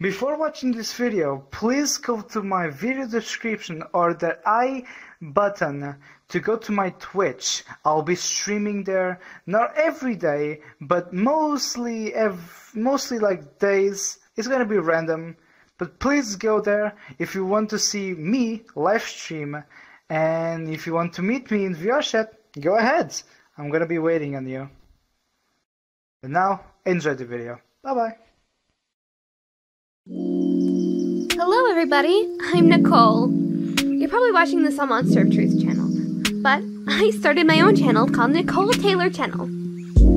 Before watching this video, please go to my video description or the i button to go to my Twitch. I'll be streaming there, not every day, but mostly like days. It's gonna be random, but please go there if you want to see me live stream, and if you want to meet me in VR go ahead. I'm gonna be waiting on you. And now, enjoy the video. Bye bye. Hello everybody, I'm Nicole. You're probably watching this on Monster of Truth channel, but I started my own channel called Nicole Taylor Channel.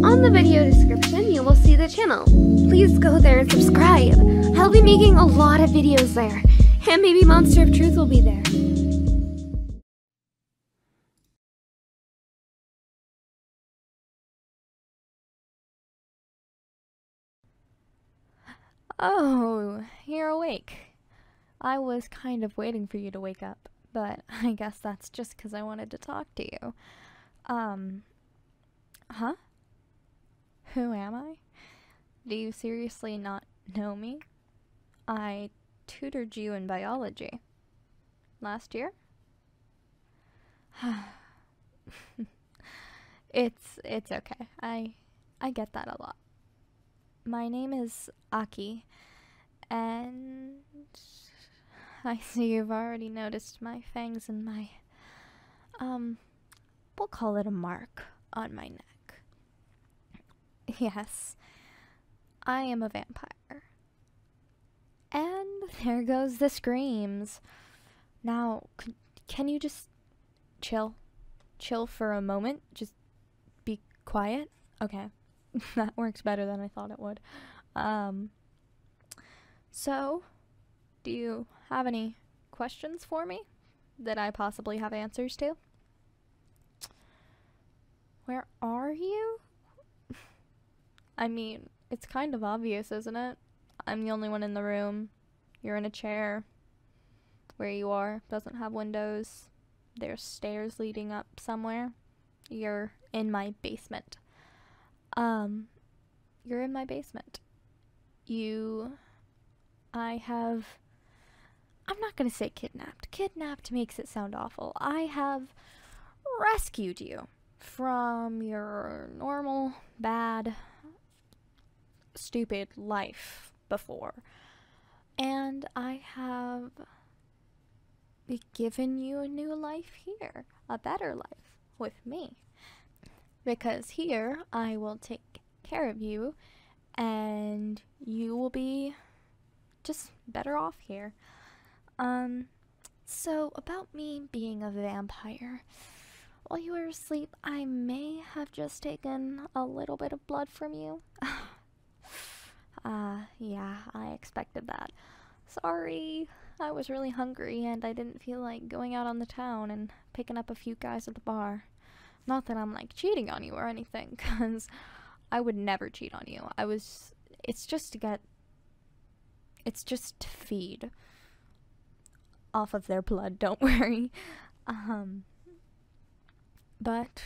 On the video description, you will see the channel. Please go there and subscribe. I'll be making a lot of videos there, and maybe Monster of Truth will be there. Oh, you're awake. I was kind of waiting for you to wake up, but I guess that's just because I wanted to talk to you. Um, huh? Who am I? Do you seriously not know me? I tutored you in biology last year. it's it's okay. I I get that a lot. My name is Aki and I see you've already noticed my fangs and my um we'll call it a mark on my neck. Yes. I am a vampire. And there goes the screams. Now, can you just chill? Chill for a moment? Just be quiet? Okay. that works better than I thought it would. Um, so, do you have any questions for me that I possibly have answers to? Where are you? I mean, it's kind of obvious, isn't it? I'm the only one in the room. You're in a chair. Where you are doesn't have windows. There's stairs leading up somewhere. You're in my basement. Um, you're in my basement. You. I have. I'm not gonna say kidnapped. Kidnapped makes it sound awful. I have rescued you from your normal, bad, stupid life before. And I have given you a new life here, a better life with me. Because here I will take care of you and you will be just better off here. Um, so, about me being a vampire. While you were asleep, I may have just taken a little bit of blood from you. Ah, uh, yeah, I expected that. Sorry, I was really hungry and I didn't feel like going out on the town and picking up a few guys at the bar. Not that I'm like cheating on you or anything, because I would never cheat on you. I was. It's just to get it's just to feed off of their blood, don't worry. Um, but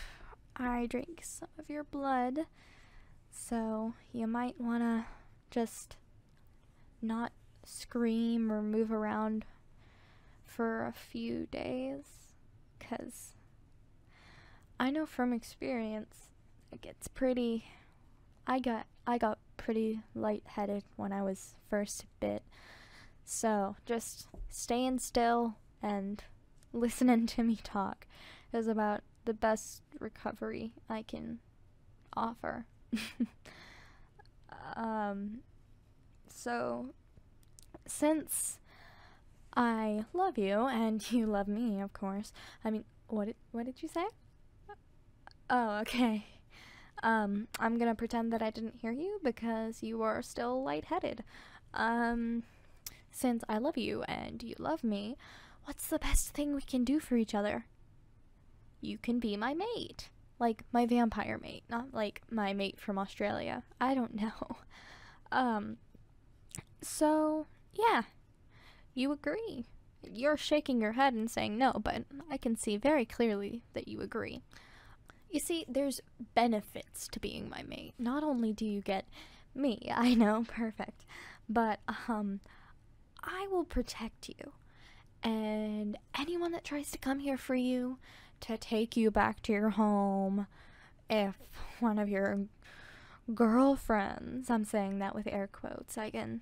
I drank some of your blood, so you might want to just not scream or move around for a few days because I know from experience it gets pretty I got I got pretty lightheaded when I was first bit. So, just staying still and listening to me talk is about the best recovery I can offer. um so since I love you and you love me, of course. I mean, what what did you say? Oh, okay. Um, I'm gonna pretend that I didn't hear you because you are still lightheaded. Um, since I love you and you love me, what's the best thing we can do for each other? You can be my mate. Like, my vampire mate, not like my mate from Australia. I don't know. Um, so, yeah, you agree. You're shaking your head and saying no, but I can see very clearly that you agree. You see, there's benefits to being my mate. Not only do you get me, I know, perfect, but um, I will protect you. And anyone that tries to come here for you, to take you back to your home, if one of your girlfriends. I'm saying that with air quotes. again.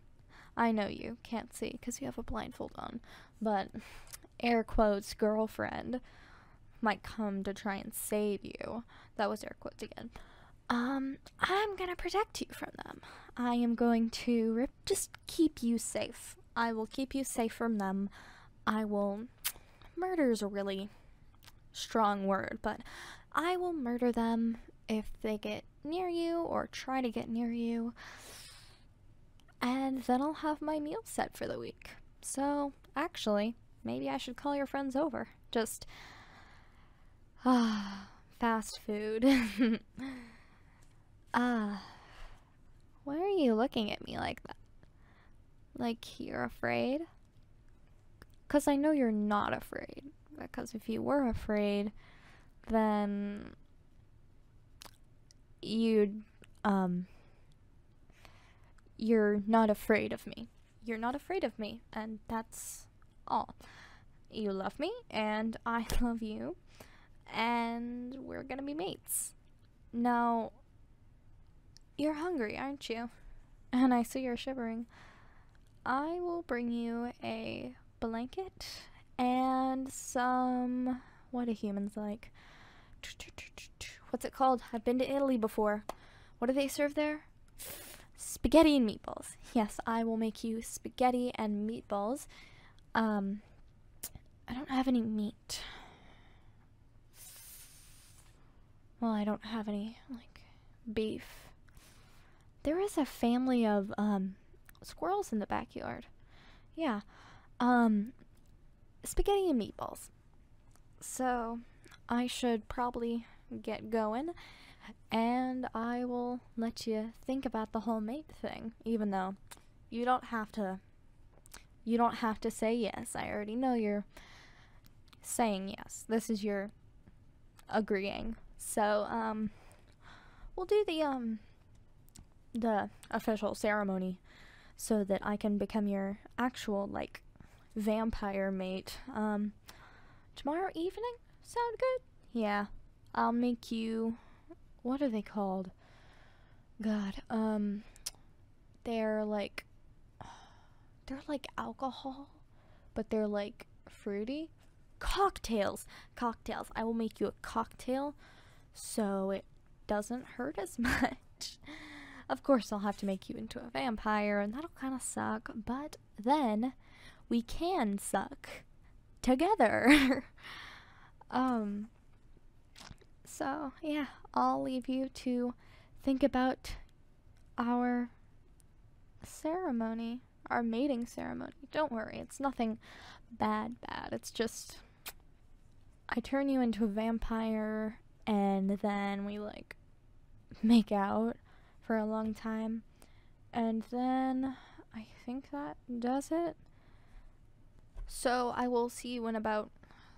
I know you can't see because you have a blindfold on, but air quotes girlfriend might come to try and save you. That was air quotes again. Um, I'm gonna protect you from them. I am going to rip, just keep you safe. I will keep you safe from them. I will. murders is really strong word, but I will murder them if they get near you or try to get near you. And then I'll have my meal set for the week. So, actually, maybe I should call your friends over. Just. Ah, fast food. Ah. why are you looking at me like that? Like you're afraid? Because I know you're not afraid. Because if you were afraid, then you'd, um, you're not afraid of me. You're not afraid of me, and that's all. You love me, and I love you, and we're gonna be mates. Now, you're hungry, aren't you? And I see you're shivering. I will bring you a blanket and some. What do humans like? What's it called? I've been to Italy before. What do they serve there? Spaghetti and meatballs. Yes, I will make you spaghetti and meatballs. Um, I don't have any meat. Well, I don't have any, like, beef. There is a family of um, squirrels in the backyard. Yeah. Um, spaghetti and meatballs. So, I should probably get going and I will let you think about the whole mate thing even though you don't have to you don't have to say yes. I already know you're saying yes. This is your agreeing. So, um, we'll do the, um, the official ceremony so that I can become your actual, like, vampire mate. Um, tomorrow evening? Sound good? Yeah. I'll make you, what are they called? God, um, they're like, they're like alcohol but they're like fruity. Cocktails! Cocktails. I will make you a cocktail so it doesn't hurt as much. of course, I'll have to make you into a vampire, and that'll kind of suck, but then we can suck together. um, so, yeah, I'll leave you to think about our ceremony, our mating ceremony. Don't worry, it's nothing bad, bad. It's just I turn you into a vampire and then we like make out for a long time. And then I think that does it. So I will see you in about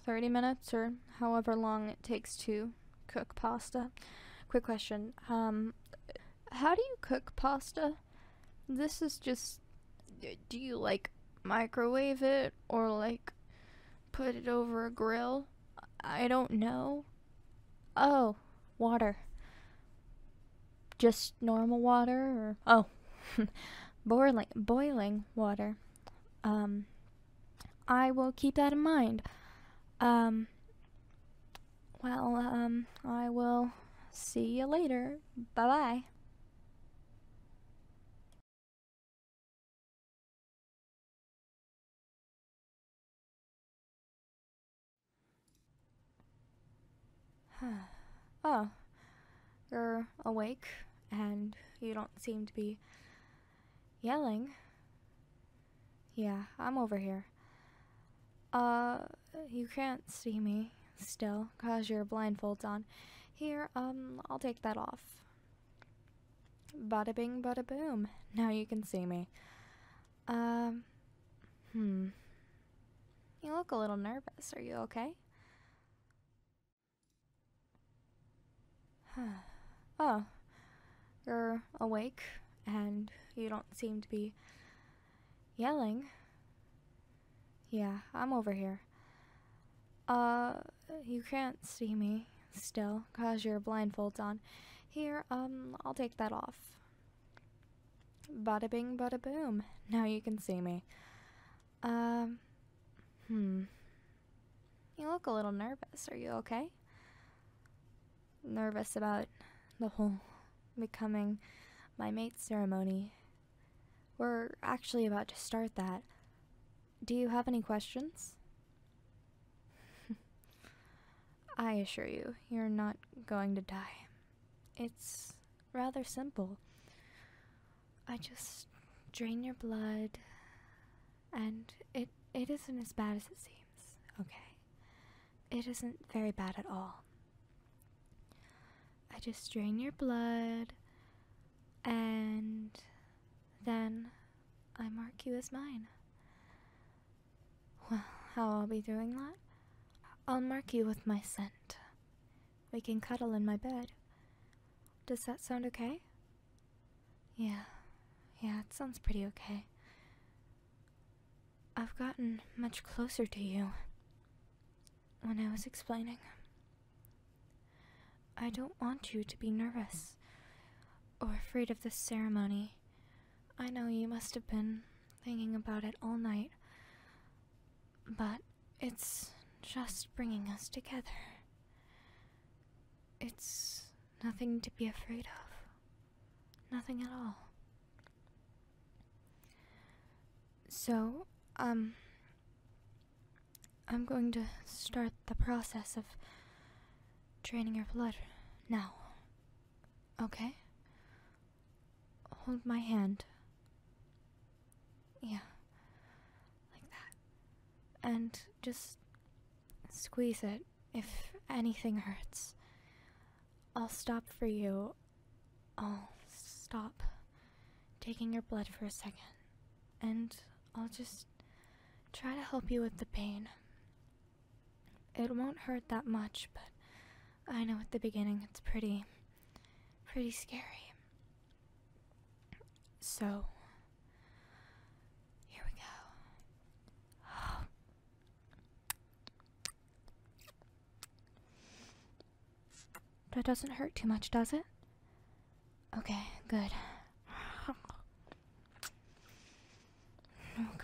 30 minutes or however long it takes to cook pasta. Quick question. Um, how do you cook pasta? This is just. Uh, do you like microwave it or like put it over a grill? I don't know. Oh, water. Just normal water or. Oh. boiling, boiling water. Um, I will keep that in mind. Um, well, um, I will see you later. Bye bye. oh, you're awake and you don't seem to be yelling. Yeah, I'm over here. Uh, you can't see me still, cause your blindfold's on. Here, um, I'll take that off. Bada bing, bada boom. Now you can see me. Um, hmm. You look a little nervous. Are you okay? oh, you're awake and you don't seem to be yelling. Yeah, I'm over here. Uh, you can't see me still because your blindfold's on. Here, um, I'll take that off. Bada bing, bada boom. Now you can see me. Um, hmm. You look a little nervous. Are you okay? nervous about the whole becoming my mate ceremony. We're actually about to start that. Do you have any questions? I assure you, you're not going to die. It's rather simple. I just drain your blood, and it it isn't as bad as it seems. Okay. It isn't very bad at all. I just drain your blood and then I mark you as mine. Well, how I'll be doing that? I'll mark you with my scent. We can cuddle in my bed. Does that sound okay? Yeah, yeah, it sounds pretty okay. I've gotten much closer to you when I was explaining. I don't want you to be nervous or afraid of this ceremony. I know you must have been thinking about it all night, but it's just bringing us together. It's nothing to be afraid of. Nothing at all. So, um, I'm going to start the process of draining your blood now. Okay? Hold my hand. Yeah. Like that. And just squeeze it if anything hurts. I'll stop for you. I'll stop taking your blood for a second, and I'll just try to help you with the pain. It won't hurt that much, but I know at the beginning it's pretty, pretty scary. So, here we go. That doesn't hurt too much, does it? Okay, good. Oh, good.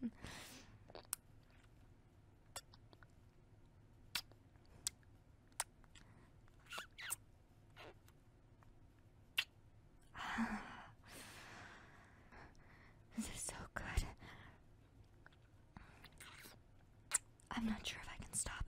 this is so good. I'm not sure if I can stop.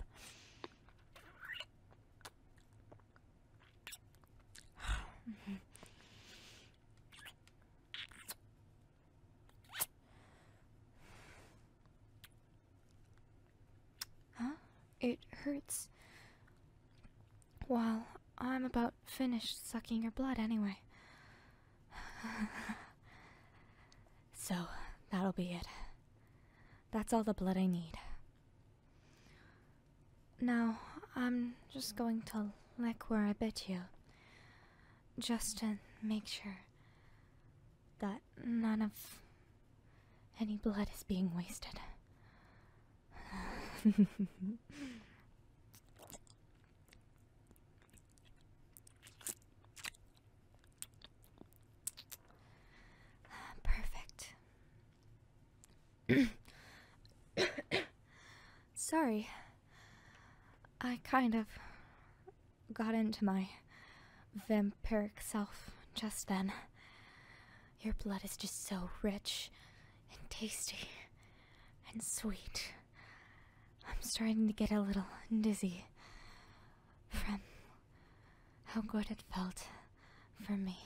Huh? It hurts. Well, I'm about finished sucking your blood anyway. so, that'll be it. That's all the blood I need. Now, I'm just going to lick where I bit you. Just to make sure that none of any blood is being wasted. Perfect. Sorry. I kind of got into my vampiric self just then. Your blood is just so rich and tasty and sweet. I'm starting to get a little dizzy from how good it felt for me.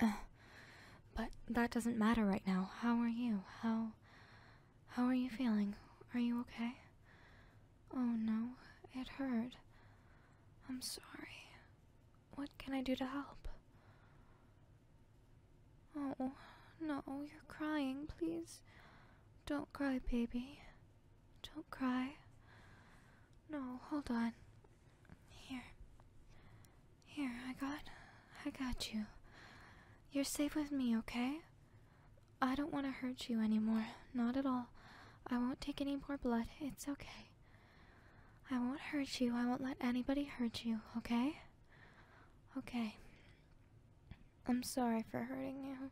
Uh, but that doesn't matter right now. How are you? How how are you feeling? Are you okay? Oh no, it hurt. I'm sorry. What can I do to help? Oh, no, you're crying, please. Don't cry, baby. Don't cry. No, hold on. Here. Here, I got I got you. You're safe with me, okay? I don't want to hurt you anymore. Not at all. I won't take any more blood. It's okay. I won't hurt you. I won't let anybody hurt you, okay? Okay. I'm sorry for hurting you.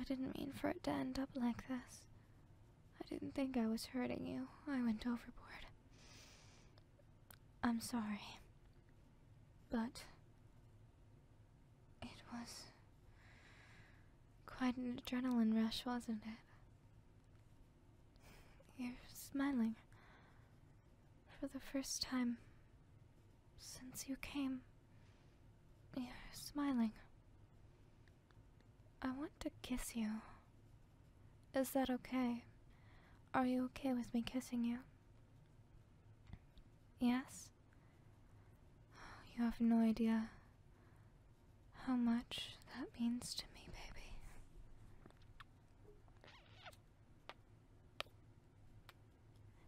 I didn't mean for it to end up like this. I didn't think I was hurting you. I went overboard. I'm sorry. But it was quite an adrenaline rush, wasn't it? You're smiling for the first time since you came. You're smiling. I want to kiss you. Is that okay? Are you okay with me kissing you? Yes? You have no idea how much that means to me, baby.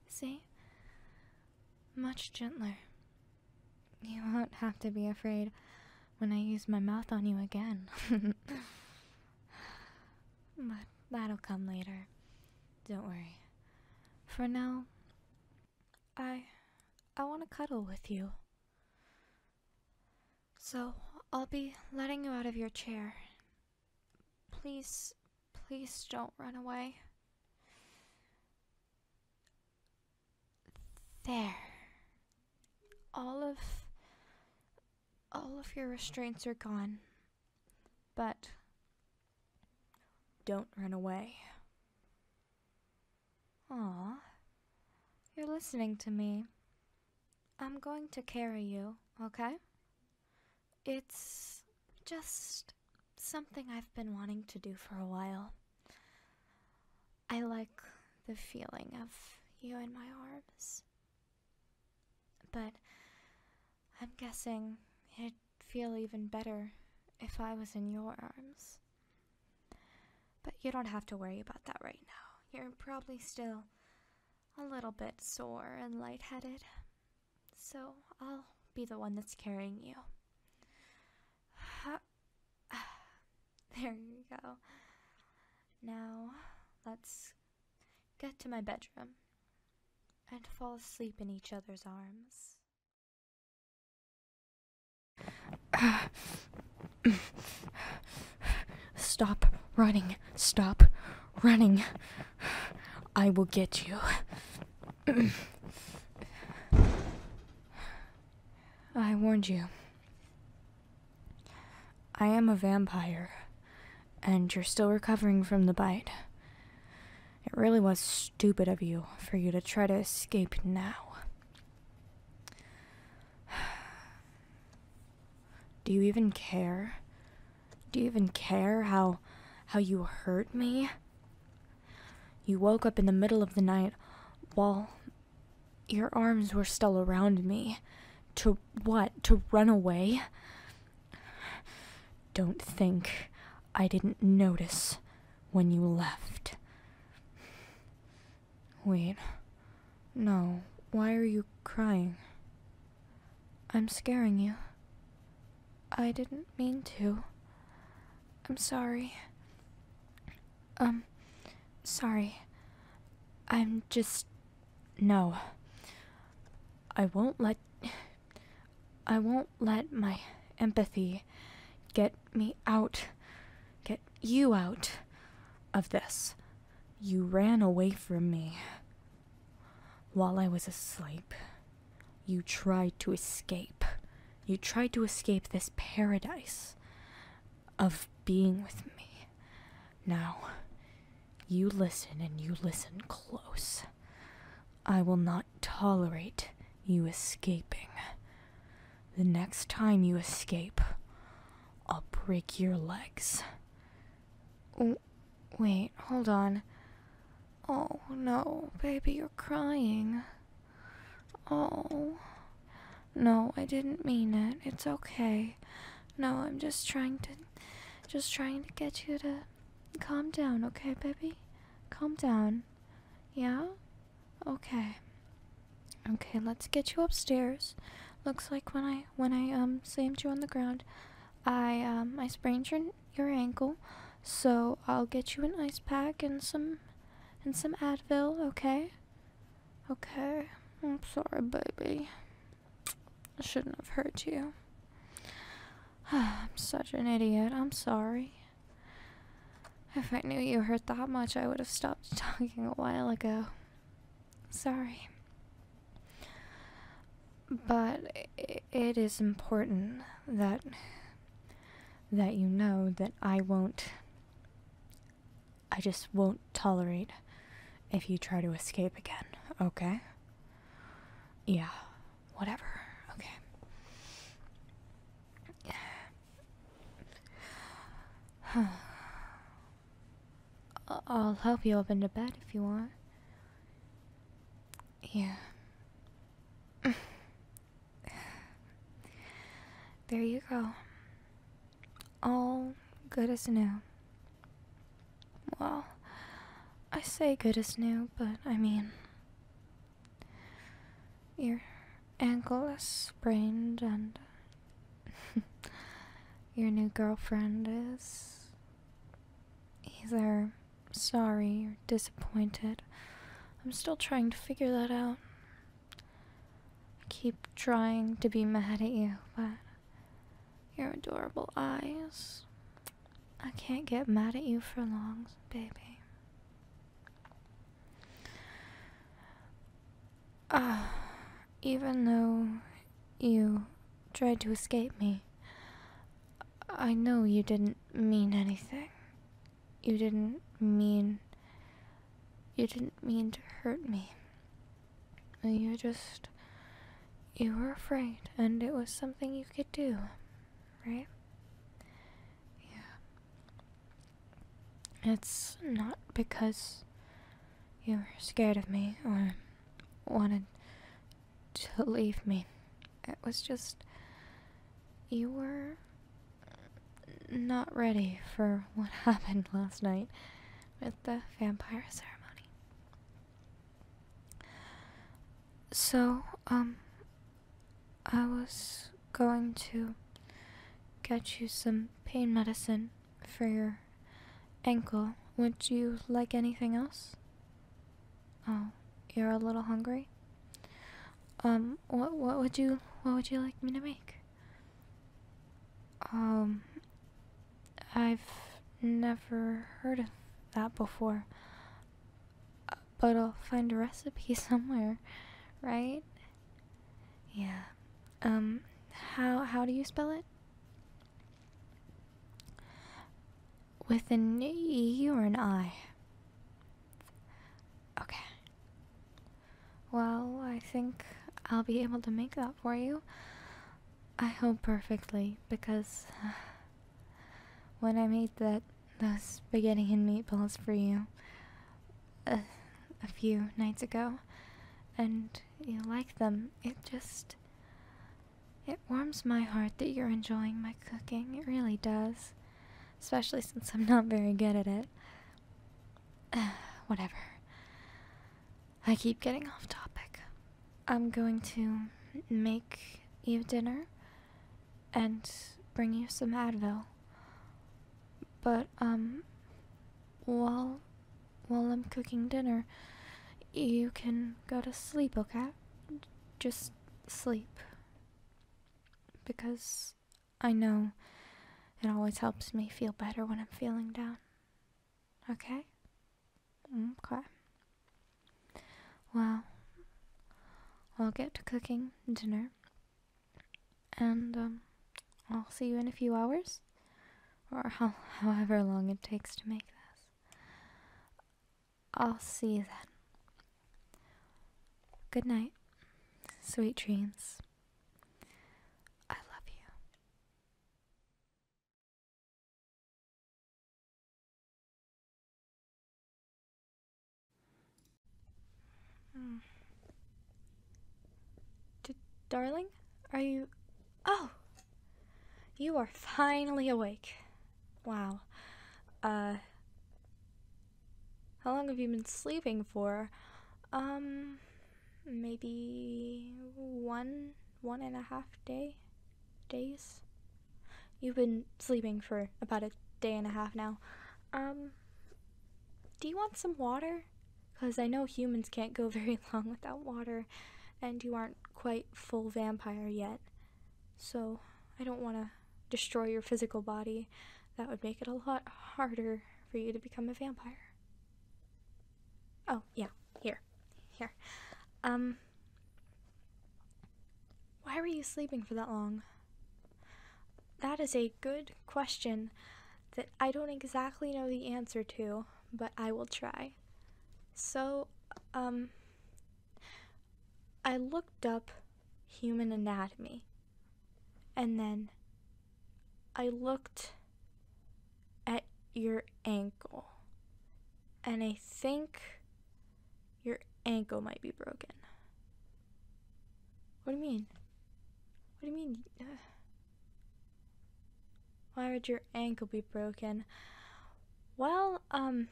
See? Much gentler. You won't have to be afraid when I use my mouth on you again. but that'll come later. Don't worry. For now, I I want to cuddle with you. So, I'll be letting you out of your chair. Please, please don't run away. There. All of all of your restraints are gone. But don't run away. Aw, you're listening to me. I'm going to carry you, okay? It's just something I've been wanting to do for a while. I like the feeling of you in my arms. But I'm guessing it feel even better if I was in your arms. But you don't have to worry about that right now. You're probably still a little bit sore and lightheaded, so I'll be the one that's carrying you. There you go. Now, let's get to my bedroom and fall asleep in each other's arms. Stop running. Stop running. I will get you. I warned you. I am a vampire, and you're still recovering from the bite. It really was stupid of you for you to try to escape now. Do you even care? Do you even care how how you hurt me? You woke up in the middle of the night while your arms were still around me. To what? To run away? Don't think I didn't notice when you left. Wait. No. Why are you crying? I'm scaring you. I didn't mean to. I'm sorry. Um, sorry. I'm just. No. I won't let. I won't let my empathy get me out, get you out of this. You ran away from me while I was asleep. You tried to escape. You tried to escape this paradise of being with me. Now, you listen and you listen close. I will not tolerate you escaping. The next time you escape, I'll break your legs. Oh, wait, hold on. Oh no, baby, you're crying. Oh. No, I didn't mean it. It's okay. No, I'm just trying to just trying to get you to calm down, okay, baby? Calm down. Yeah? Okay. Okay, let's get you upstairs. Looks like when I when I um slammed you on the ground, I um I sprained your your ankle, so I'll get you an ice pack and some and some Advil, okay? Okay. I'm sorry, baby. I shouldn't have hurt you. I'm such an idiot. I'm sorry. If I knew you hurt that much, I would have stopped talking a while ago. Sorry. But it is important that that you know that I won't I just won't tolerate if you try to escape again, okay? Yeah, whatever. Okay. I'll help you up into bed if you want. Yeah. there you go. All good as new. Well, I say good as new, but I mean, your ankle is sprained, and your new girlfriend is either sorry or disappointed. I'm still trying to figure that out. I keep trying to be mad at you, but your adorable eyes. I can't get mad at you for long, baby. Ah, even though you tried to escape me, I know you didn't mean anything. You didn't mean. You didn't mean to hurt me. You just. You were afraid, and it was something you could do, right? Yeah. It's not because you were scared of me or wanted to leave me. It was just. You were not ready for what happened last night with the vampire ceremony. So, um, I was going to get you some pain medicine for your ankle. Would you like anything else? Oh, you're a little hungry? Um, what what would you what would you like me to make? Um I've never heard of that before. Uh, but I'll find a recipe somewhere, right? Yeah. Um how how do you spell it? With an E or an I? Okay. Well, I think I'll be able to make that for you. I hope perfectly because when I made that those spaghetti and meatballs for you, a, few nights ago, and you like them. It just. It warms my heart that you're enjoying my cooking. It really does. Especially since I'm not very good at it. whatever. I keep getting off topic. I'm going to make you dinner and bring you some Advil. But um while while I'm cooking dinner, you can go to sleep, okay? Just sleep. Because I know it always helps me feel better when I'm feeling down. Okay? Okay. Well, I'll get to cooking dinner and um, I'll see you in a few hours, or ho however long it takes to make this. I'll see you then. Good night. Sweet dreams. I love you. Hmm. darling, are you. Oh! You are finally awake. Wow. Uh. How long have you been sleeping for? Um. Maybe. one, one and a half day? Days? You've been sleeping for about a day and a half now. Um. Do you want some water? Because I know humans can't go very long without water, and you aren't quite full vampire yet. So, I don't want to destroy your physical body. That would make it a lot harder for you to become a vampire. Oh, yeah, here. Here. Um. Why were you sleeping for that long? That is a good question that I don't exactly know the answer to, but I will try. So, um, I looked up human anatomy and then I looked at your ankle and I think your ankle might be broken. What do you mean? What do you mean? Why would your ankle be broken? Well, um,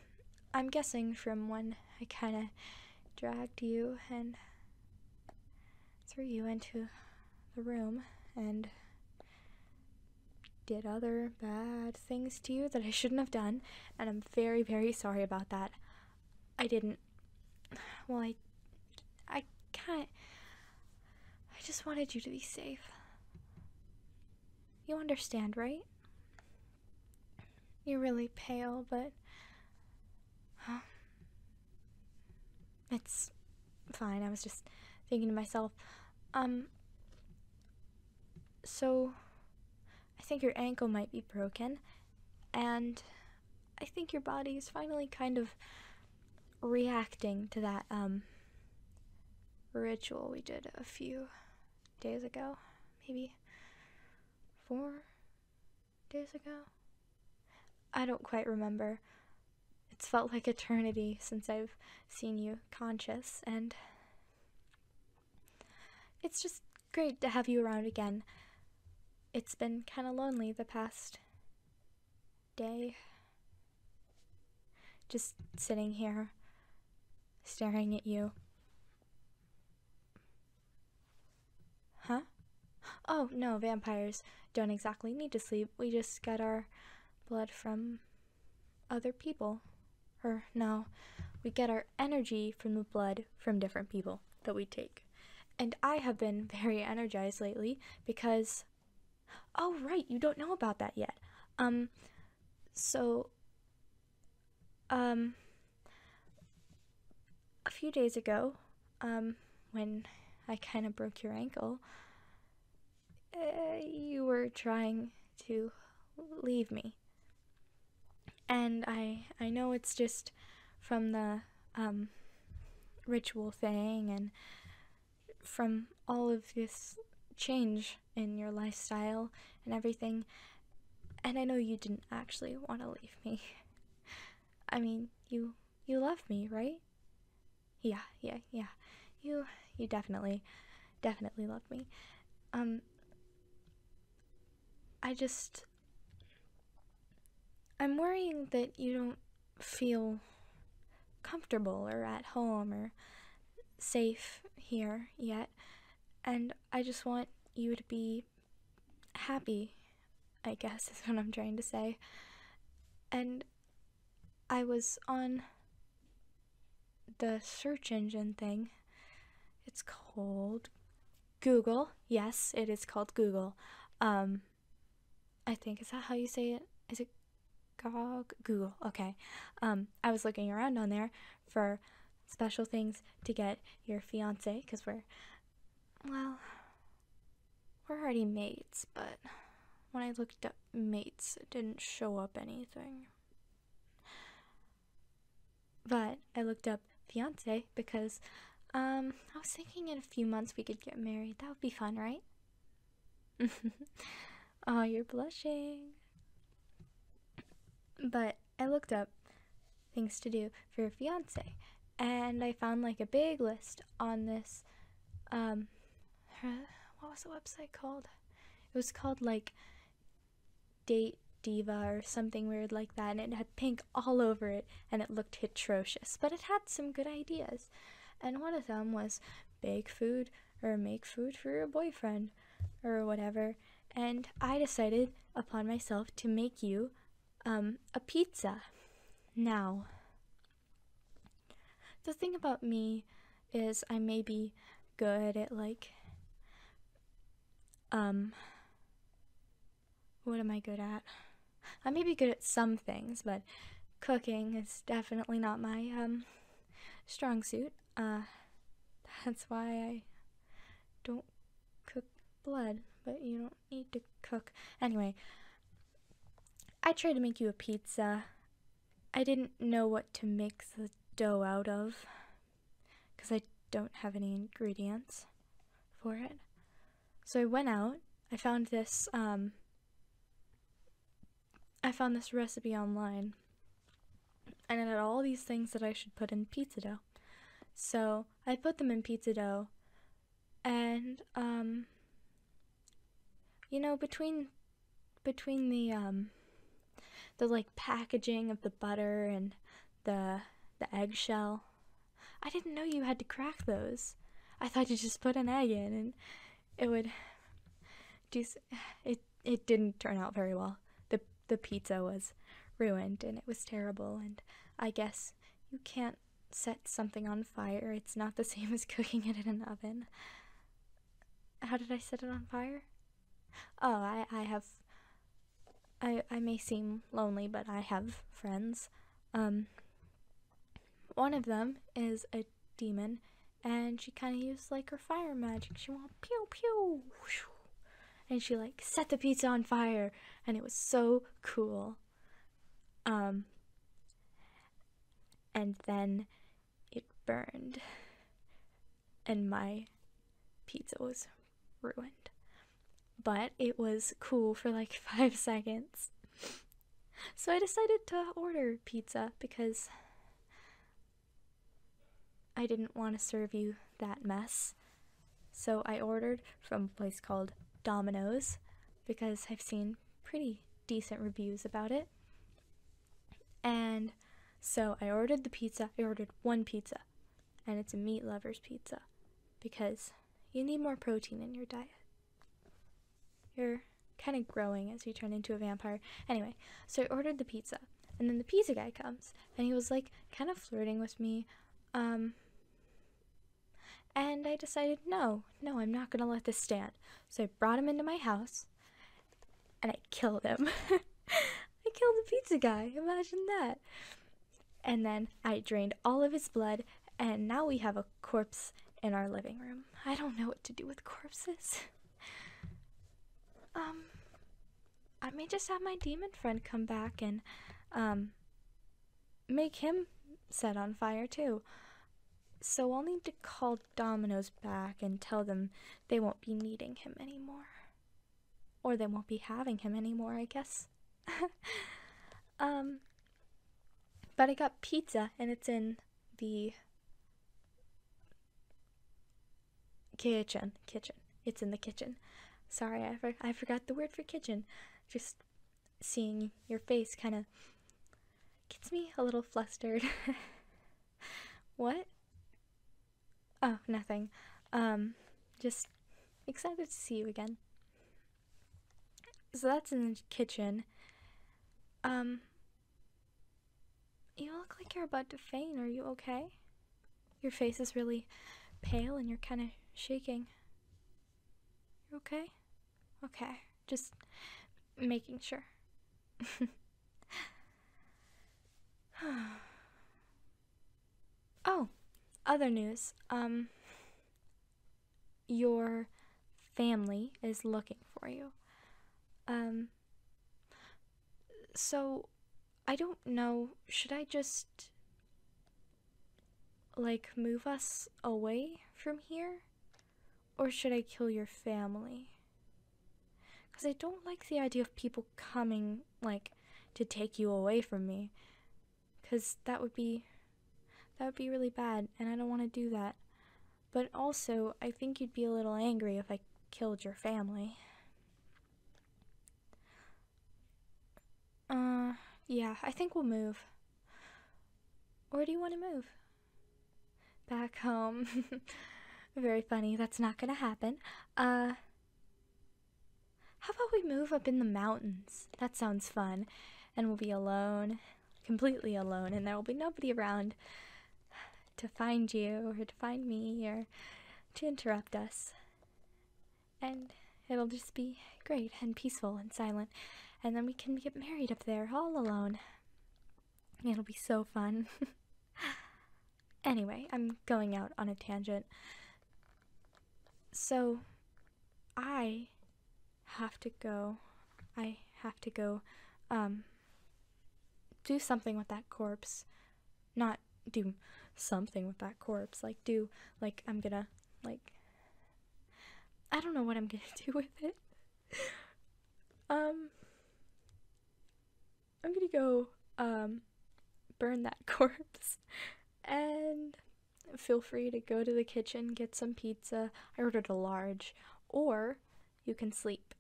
I'm guessing from when I kind of dragged you and threw you into the room and did other bad things to you that I shouldn't have done, and I'm very, very sorry about that. I didn't well, I. I can't. I just wanted you to be safe. You understand, right? You're really pale, but. Um, it's fine. I was just thinking to myself, um. So, I think your ankle might be broken, and I think your body is finally kind of reacting to that um, ritual we did a few days ago, maybe four days ago. I don't quite remember. It's felt like eternity since I've seen you conscious, and it's just great to have you around again. It's been kind of lonely the past day. Just sitting here, staring at you. Huh? Oh, no, vampires don't exactly need to sleep. We just get our blood from other people. Or, no, we get our energy from the blood from different people that we take. And I have been very energized lately because Oh right, you don't know about that yet. Um so um a few days ago, um when I kind of broke your ankle, eh, you were trying to leave me. And I I know it's just from the um, ritual thing and from all of this change in your lifestyle and everything. And I know you didn't actually want to leave me. I mean, you you love me, right? Yeah, yeah, yeah. You you definitely definitely loved me. Um I just I'm worrying that you don't feel comfortable or at home or safe here yet, and I just want you to be happy, I guess is what I'm trying to say. And I was on the search engine thing. It's called Google. Yes, it is called Google. Um, I think is that how you say it? Is it GOG? Google. Okay. Um, I was looking around on there for special things to get your fiance because we're, well, we're already mates, but when I looked up mates, it didn't show up anything. But I looked up fiance because um, I was thinking in a few months we could get married. That would be fun, right? oh, you're blushing. But I looked up things to do for your fiance, and I found like a big list on this. Um, what was the website called? It was called like Date Diva or something weird like that, and it had pink all over it, and it looked atrocious. But it had some good ideas. And one of them was bake food or make food for your boyfriend or whatever. And I decided upon myself to make you um, a pizza. Now, the thing about me is I may be good at like, um, what am I good at? I may be good at some things, but cooking is definitely not my um, strong suit. Uh, that's why I don't cook blood, but you don't need to cook. Anyway, I tried to make you a pizza. I didn't know what to make the dough out of because I don't have any ingredients for it. So I went out. I found this um, I found this recipe online and it had all these things that I should put in pizza dough. So I put them in pizza dough and um you know between between the um the like packaging of the butter and the the eggshell I didn't know you had to crack those. I thought you just put an egg in and it would Just it it didn't turn out very well. The the pizza was ruined and it was terrible and I guess you can't set something on fire. It's not the same as cooking it in an oven. How did I set it on fire? Oh, I I have I I may seem lonely, but I have friends. Um one of them is a demon, and she kind of used like her fire magic. She went pew pew, and she like set the pizza on fire, and it was so cool. Um, and then it burned, and my pizza was ruined. But it was cool for like five seconds. So I decided to order pizza because I didn't want to serve you that mess. So I ordered from a place called Domino's because I've seen pretty decent reviews about it. And so I ordered the pizza. I ordered one pizza, and it's a meat lover's pizza because you need more protein in your diet. You're kind of growing as you turn into a vampire. Anyway, so I ordered the pizza, and then the pizza guy comes, and he was like kind of flirting with me. Um, and I decided, no, no, I'm not gonna let this stand. So I brought him into my house, and I killed him. I killed the pizza guy. Imagine that. And then I drained all of his blood and now we have a corpse in our living room. I don't know what to do with corpses. um, I may just have my demon friend come back and, um, make him set on fire too. So I'll need to call Dominoes back and tell them they won't be needing him anymore. Or they won't be having him anymore, I guess. um, but I got pizza and it's in the kitchen. Kitchen. It's in the kitchen. Sorry, I, I forgot the word for kitchen. Just seeing your face kind of gets me a little flustered. what? Oh, nothing. Um, just excited to see you again. So that's in the kitchen. Um, you look like you're about to faint. Are you okay? Your face is really pale and you're kind of shaking. you okay? Okay, just making sure. oh, other news. Um, your family is looking for you. Um, so I don't know, should I just like move us away from here? Or should I kill your family? Because I don't like the idea of people coming, like, to take you away from me. Because that would be, that would be really bad, and I don't want to do that. But also, I think you'd be a little angry if I killed your family. Uh, yeah, I think we'll move. Where do you want to move? Back home. Very funny, that's not gonna happen. Uh, how about we move up in the mountains? That sounds fun. And we'll be alone completely alone and there will be nobody around to find you or to find me or to interrupt us. And it'll just be great and peaceful and silent. And then we can get married up there all alone. It'll be so fun. anyway, I'm going out on a tangent. So, I have to go. I have to go, um, do something with that corpse. Not do something with that corpse. Like, do, like, I'm gonna, like, I don't know what I'm gonna do with it. um, I'm gonna go, um, burn that corpse. and feel free to go to the kitchen, get some pizza. I ordered a large or you can sleep.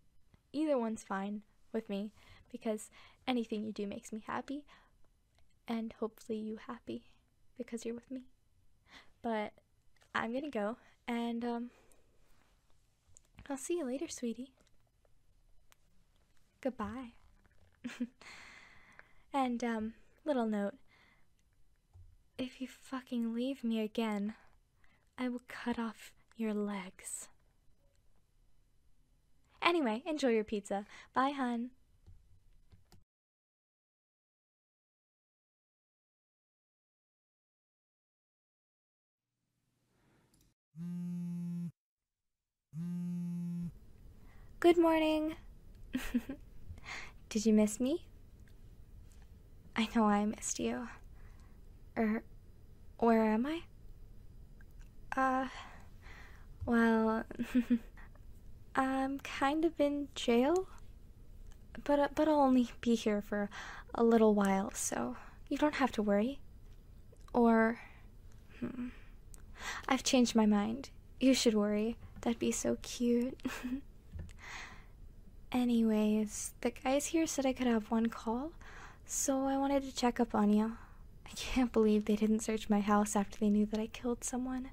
Either one's fine with me because anything you do makes me happy, and hopefully you happy because you're with me. But I'm gonna go, and um, I'll see you later, sweetie. Goodbye. and um, little note if you fucking leave me again, I will cut off your legs. Anyway, enjoy your pizza. Bye, hun. Good morning. Did you miss me? I know I missed you. Or, er, where am I? Uh, well, I'm kind of in jail, but uh, but I'll only be here for a little while, so you don't have to worry. Or, hmm, I've changed my mind. You should worry. That'd be so cute. Anyways, the guys here said I could have one call, so I wanted to check up on you. I can't believe they didn't search my house after they knew that I killed someone.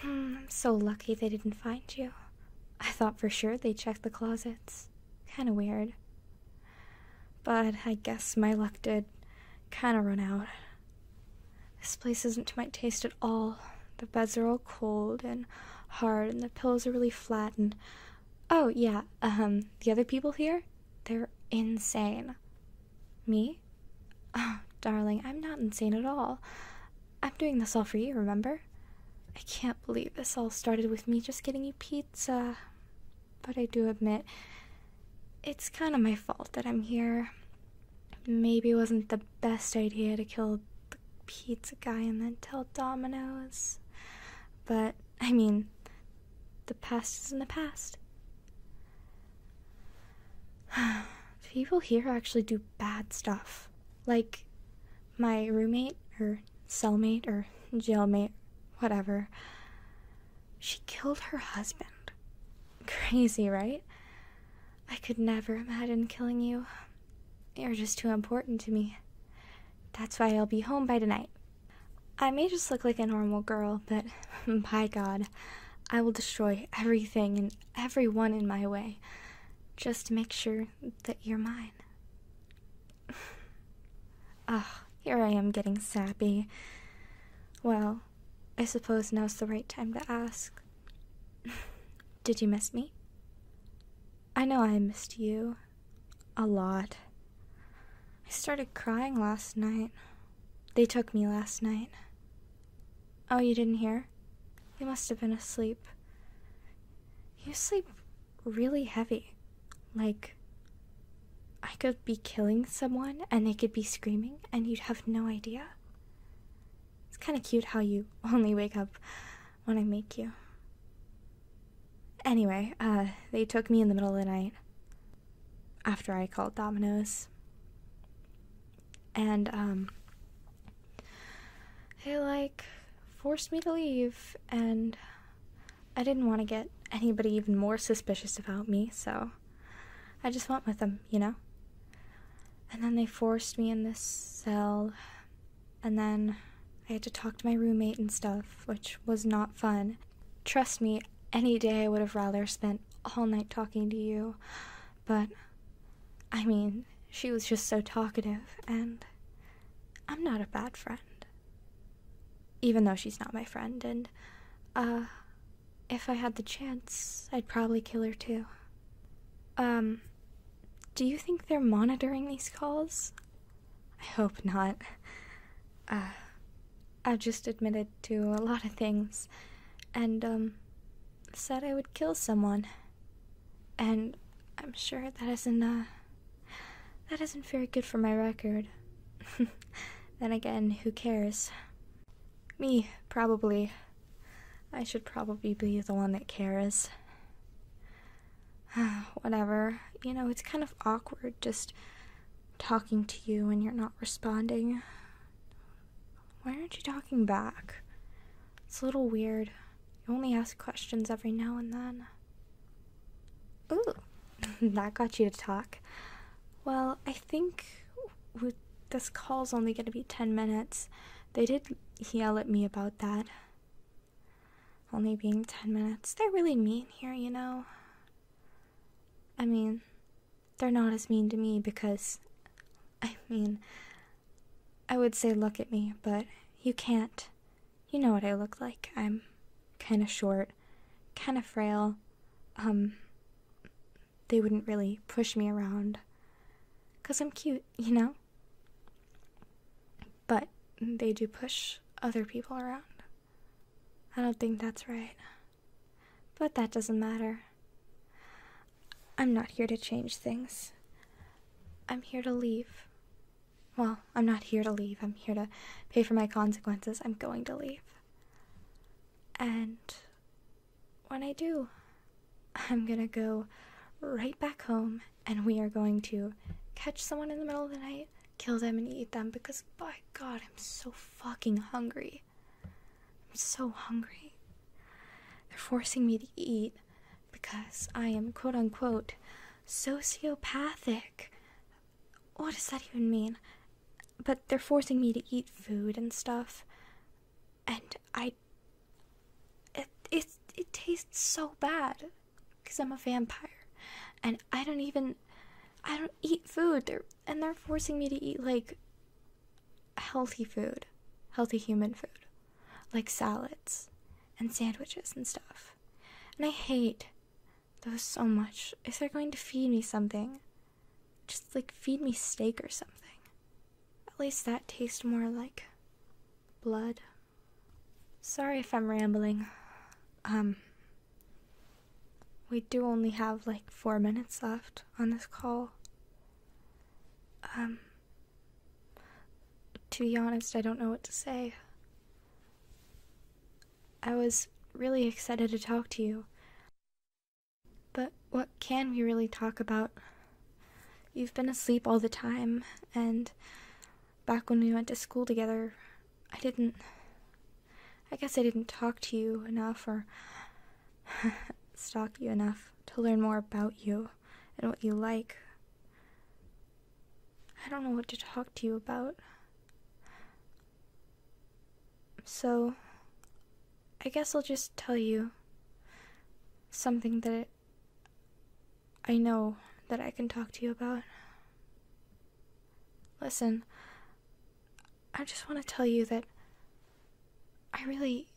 Hmm, I'm so lucky they didn't find you. I thought for sure they checked the closets. Kinda weird. But I guess my luck did kinda run out. This place isn't to my taste at all. The beds are all cold and hard, and the pillows are really flat. And oh, yeah, um, the other people here, they're insane. Me? Oh, darling, I'm not insane at all. I'm doing this all for you, remember? I can't believe this all started with me just getting you pizza. But I do admit, it's kind of my fault that I'm here. Maybe it wasn't the best idea to kill pizza guy and then tell Dominoes. But, I mean, the past is in the past. People here actually do bad stuff. Like, my roommate, or cellmate, or jailmate, whatever, she killed her husband. Crazy, right? I could never imagine killing you. You're just too important to me. That's why I'll be home by tonight. I may just look like a normal girl, but by God, I will destroy everything and everyone in my way just to make sure that you're mine. Ah, here I am getting sappy. Well, I suppose now's the right time to ask. Did you miss me? I know I missed you. A lot. I started crying last night. They took me last night. Oh, you didn't hear? You must have been asleep. You sleep really heavy. Like, I could be killing someone and they could be screaming and you'd have no idea. It's kind of cute how you only wake up when I make you. Anyway, uh, they took me in the middle of the night after I called Dominoes. And, um, they like forced me to leave, and I didn't want to get anybody even more suspicious about me, so I just went with them, you know? And then they forced me in this cell, and then I had to talk to my roommate and stuff, which was not fun. Trust me, any day I would have rather spent all night talking to you, but I mean, she was just so talkative, and I'm not a bad friend. Even though she's not my friend, and, uh, if I had the chance, I'd probably kill her too. Um, do you think they're monitoring these calls? I hope not. Uh, I've just admitted to a lot of things, and, um, said I would kill someone. And I'm sure that isn't, uh, that isn't very good for my record. then again, who cares? Me, probably. I should probably be the one that cares. whatever. You know, it's kind of awkward just talking to you and you're not responding. Why aren't you talking back? It's a little weird. You only ask questions every now and then. Ooh, that got you to talk. Well, I think this call's only going to be 10 minutes. They did yell at me about that. Only being 10 minutes. They're really mean here, you know? I mean, they're not as mean to me because, I mean, I would say look at me, but you can't. You know what I look like. I'm kind of short, kind of frail. Um, they wouldn't really push me around, I'm cute, you know? But they do push other people around. I don't think that's right. But that doesn't matter. I'm not here to change things. I'm here to leave. Well, I'm not here to leave. I'm here to pay for my consequences. I'm going to leave. And when I do, I'm gonna go right back home and we are going to catch someone in the middle of the night, kill them, and eat them because by God, I'm so fucking hungry. I'm so hungry. They're forcing me to eat because I am quote unquote sociopathic. What does that even mean? But they're forcing me to eat food and stuff, and I. It, it, it tastes so bad because I'm a vampire, and I don't even, I don't eat food. They're and they're forcing me to eat like healthy food, healthy human food, like salads and sandwiches and stuff. And I hate those so much. If they're going to feed me something, just like feed me steak or something. At least that tastes more like blood. Sorry if I'm rambling. Um, we do only have like four minutes left on this call. Um, to be honest, I don't know what to say. I was really excited to talk to you. But what can we really talk about? You've been asleep all the time, and Back when we went to school together, I didn't. I guess I didn't talk to you enough or stalk you enough to learn more about you and what you like. I don't know what to talk to you about. So, I guess I'll just tell you something that I know that I can talk to you about. Listen, I just want to tell you that I really,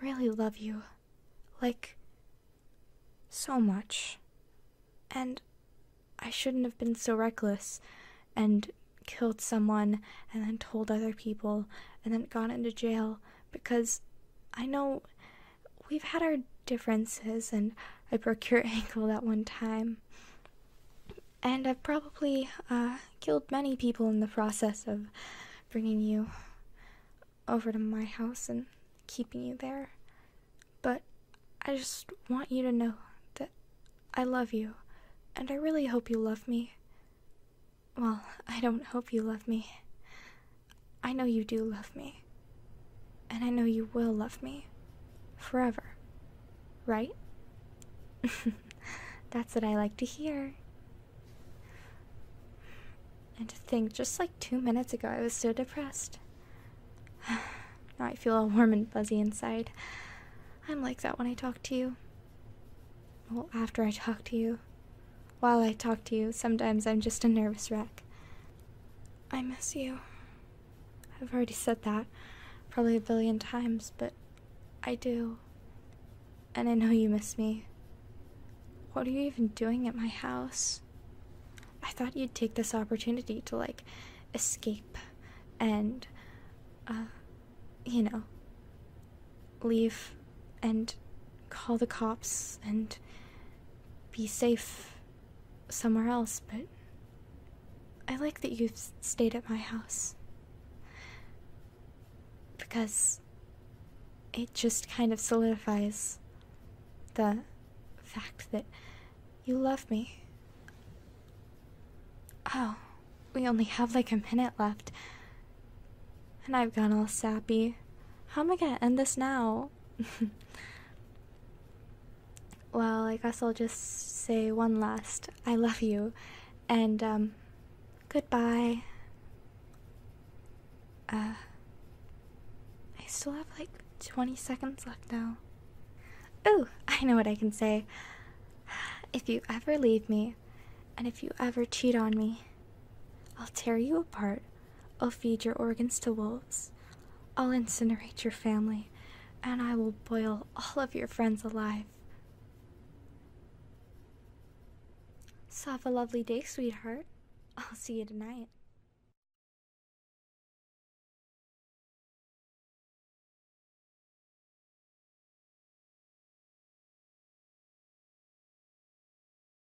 really love you. Like, so much. And I shouldn't have been so reckless and killed someone and then told other people and then gone into jail because I know We've had our differences, and I broke your ankle that one time. And I've probably uh, killed many people in the process of bringing you over to my house and keeping you there. But I just want you to know that I love you, and I really hope you love me. Well, I don't hope you love me. I know you do love me. And I know you will love me. Forever. Right? That's what I like to hear. And to think, just like two minutes ago, I was so depressed. now I feel all warm and fuzzy inside. I'm like that when I talk to you. Well, after I talk to you. While I talk to you, sometimes I'm just a nervous wreck. I miss you. I've already said that probably a billion times, but I do. And I know you miss me. What are you even doing at my house? I thought you'd take this opportunity to, like, escape and, uh, you know, leave and call the cops and be safe somewhere else, but I like that you've stayed at my house. Because it just kind of solidifies the fact that you love me. Oh, we only have like a minute left. And I've gone all sappy. How am I gonna end this now? well, I guess I'll just say one last I love you and um goodbye. Uh I still have like 20 seconds left now. Oh, I know what I can say. If you ever leave me and if you ever cheat on me, I'll tear you apart I'll feed your organs to wolves. I'll incinerate your family, and I will boil all of your friends alive. So have a lovely day, sweetheart. I'll see you tonight.